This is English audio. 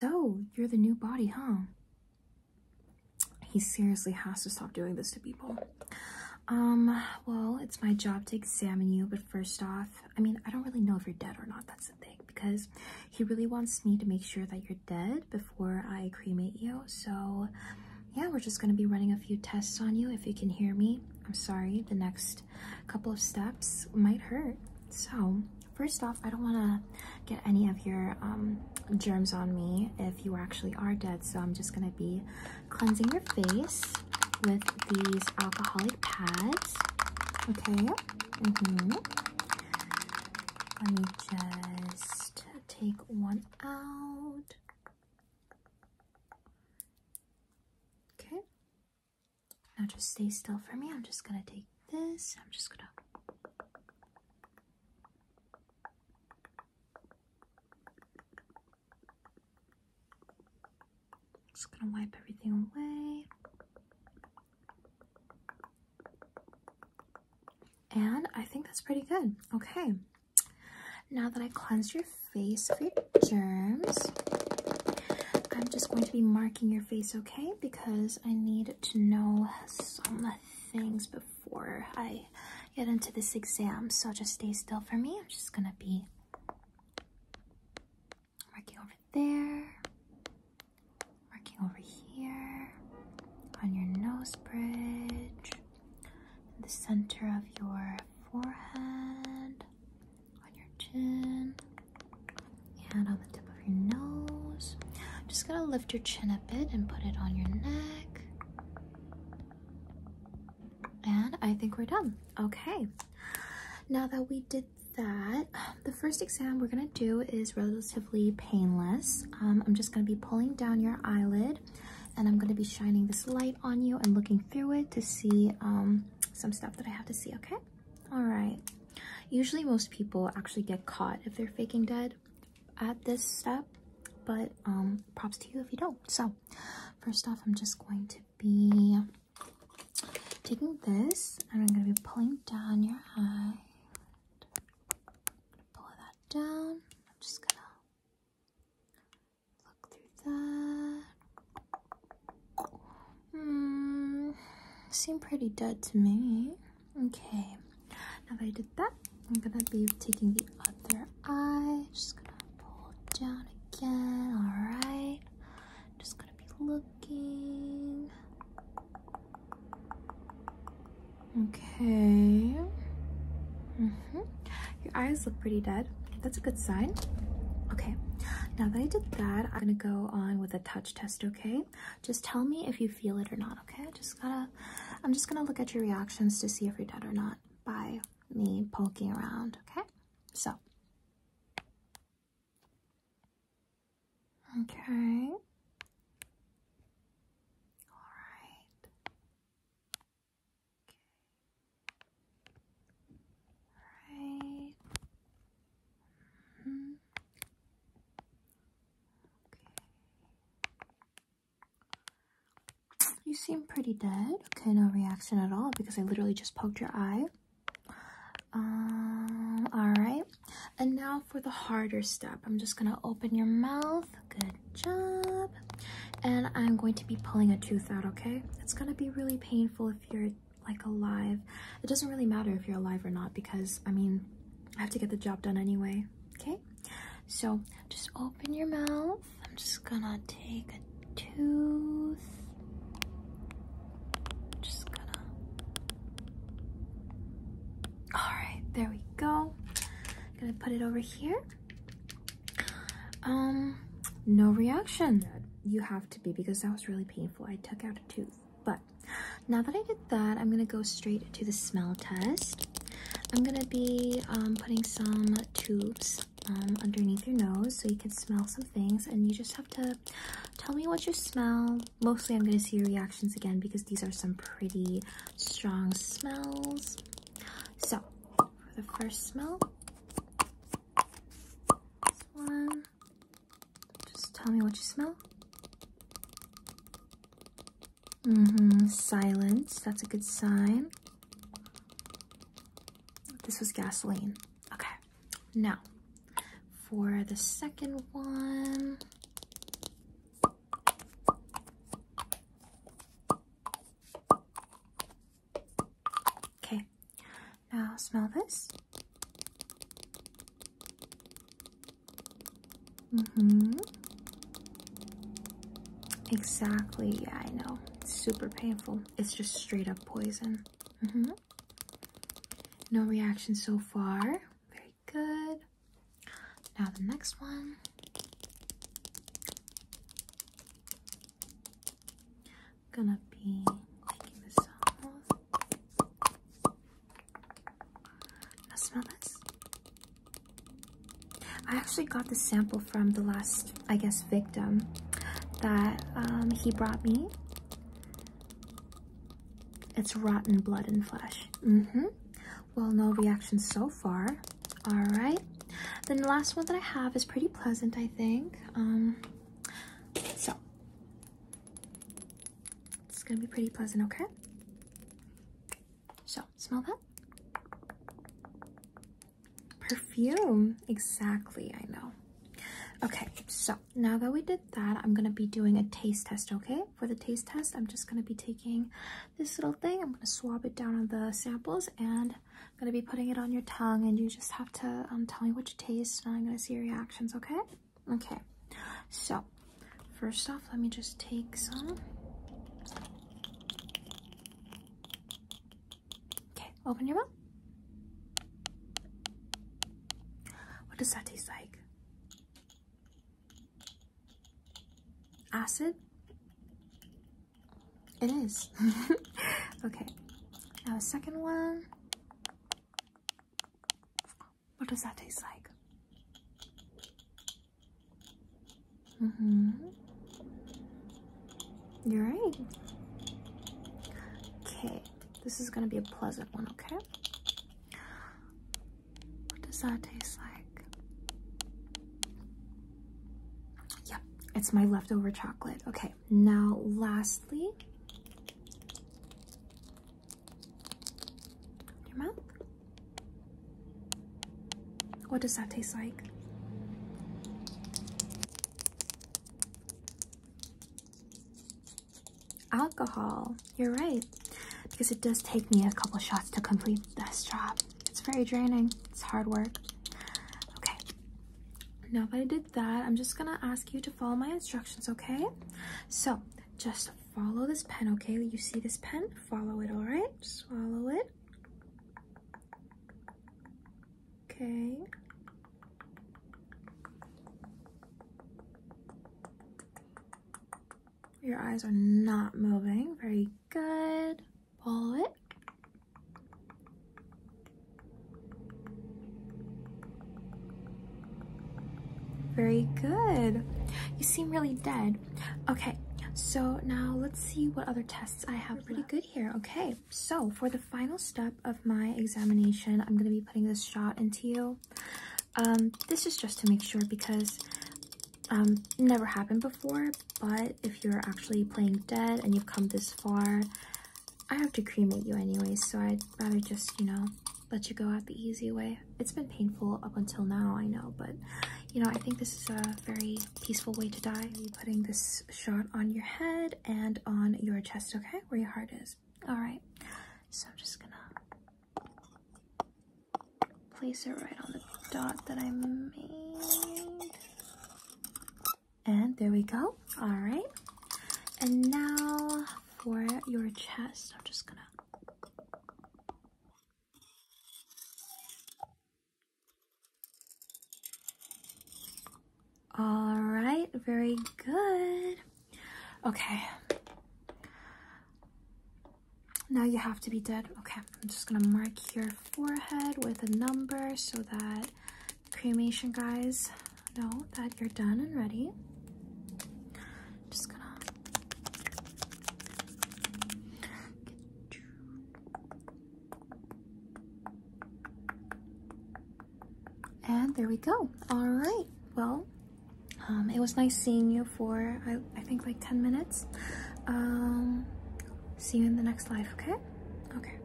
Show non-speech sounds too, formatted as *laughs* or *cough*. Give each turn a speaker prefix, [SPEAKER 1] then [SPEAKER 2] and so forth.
[SPEAKER 1] So, oh, you're the new body, huh? He seriously has to stop doing this to people. Um, well, it's my job to examine you, but first off, I mean, I don't really know if you're dead or not, that's the thing, because he really wants me to make sure that you're dead before I cremate you, so yeah, we're just gonna be running a few tests on you if you can hear me. I'm sorry, the next couple of steps might hurt. So, First off, I don't want to get any of your um, germs on me if you actually are dead, so I'm just going to be cleansing your face with these alcoholic pads. Okay. Mm-hmm. Let me just take one out. Okay. Now just stay still for me. I'm just gonna take this. I'm just gonna. Just gonna wipe everything away. And I think that's pretty good. Okay. Now that I cleansed your face for germs, I'm just going to be marking your face, okay? Because I need to know some things before I get into this exam. So just stay still for me. I'm just gonna be working over there, working over here, on your nose bridge, in the center of your forehead, on your chin and on the tip of your nose. Just gonna lift your chin a bit and put it on your neck. And I think we're done. Okay. Now that we did that, the first exam we're gonna do is relatively painless. Um, I'm just gonna be pulling down your eyelid and I'm gonna be shining this light on you and looking through it to see um, some stuff that I have to see, okay? All right. Usually most people actually get caught if they're faking dead at this step, but um, props to you if you don't. So first off, I'm just going to be taking this and I'm going to be pulling down your eye. Pull that down. just going to look through that. Hmm, seem pretty dead to me. Okay, now that I did that, I'm gonna be taking the other eye. Just gonna pull down again. All right, just gonna be looking. Okay. Mm -hmm. Your eyes look pretty dead. That's a good sign. Okay, now that I did that, I'm gonna go on with a touch test, okay? Just tell me if you feel it or not, okay? I just gotta, I'm just gonna look at your reactions to see if you're dead or not by me poking around, okay? So. Okay. All right. Okay. All right. You seem pretty dead. Okay, no reaction at all because I literally just poked your eye. Um, alright. And now for the harder step. I'm just gonna open your mouth. Good job. And I'm going to be pulling a tooth out, okay? It's gonna be really painful if you're like alive. It doesn't really matter if you're alive or not because I mean, I have to get the job done anyway. Okay, so just open your mouth. I'm just gonna take a tooth. just gonna. All right, there we go. gonna put it over here. Um, no reaction. You have to be because that was really painful. I took out a tooth, but now that I did that, I'm gonna go straight to the smell test. I'm gonna be um, putting some tubes um, underneath your nose so you can smell some things and you just have to tell me what you smell. Mostly I'm gonna see your reactions again because these are some pretty strong smells. So, the first smell, one, just tell me what you smell. Mm-hmm. Silence. That's a good sign. This was gasoline. Okay. Now, for the second one. Okay. Now smell this. Mm-hmm. Exactly. Yeah, I know. It's super painful. It's just straight up poison. Mm-hmm. No reaction so far. Very good. Now the next one gonna be making the sauce. Now smell this. I actually got the sample from the last, I guess, victim that um, he brought me. It's rotten blood and flesh. Mm-hmm. Well, no reaction so far. All right. Then the last one that I have is pretty pleasant, I think. Um, so it's gonna be pretty pleasant, okay? So, smell that? Perfume, exactly, I know. Okay, so now that we did that, I'm gonna be doing a taste test, okay? For the taste test, I'm just gonna be taking this little thing, I'm gonna swab it down on the samples, and I'm gonna be putting it on your tongue, and you just have to um, tell me what you taste, and I'm gonna see your reaction okay? Okay, so first off, let me just take some. Okay, open your mouth. What does that taste like? Acid? It is. *laughs* okay, now the second one. What does that taste like? Mm-hmm. You're right. Okay, this is gonna be a pleasant one, okay? What does that taste like? Yep, it's my leftover chocolate. Okay, now lastly, your mouth. What does that taste like? Alcohol. You're right. Because it does take me a couple shots to complete this job. It's very draining. It's hard work. Okay. Now, if I did that, I'm just gonna ask you to follow my instructions, okay? So just follow this pen, okay? You see this pen? Follow it, all right? follow it. Okay. Your eyes are not moving. Very good. Follow it. Very good. You seem really dead. Okay, so now let's see what other tests I have Pretty good here. Okay, so for the final step of my examination, I'm going to be putting this shot into you. Um, this is just to make sure because um, never happened before, but if you're actually playing dead and you've come this far, I have to cremate you anyway, so I'd rather just, you know, let you go out the easy way. It's been painful up until now, I know, but you know, I think this is a very peaceful way to die. Putting this shot on your head and on your chest, okay? Where your heart is. All right. So I'm just gonna place it right on the dot that I made. And there we go. All right. And now for your chest, I'm just gonna. All right, very good. Okay. Now you have to be dead. Okay, I'm just gonna mark your forehead with a number so that cremation guys know that you're done and ready. just gonna and there we go. All right. Well, um, it was nice seeing you for I, I think like 10 minutes. Um, see you in the next life. Okay. Okay.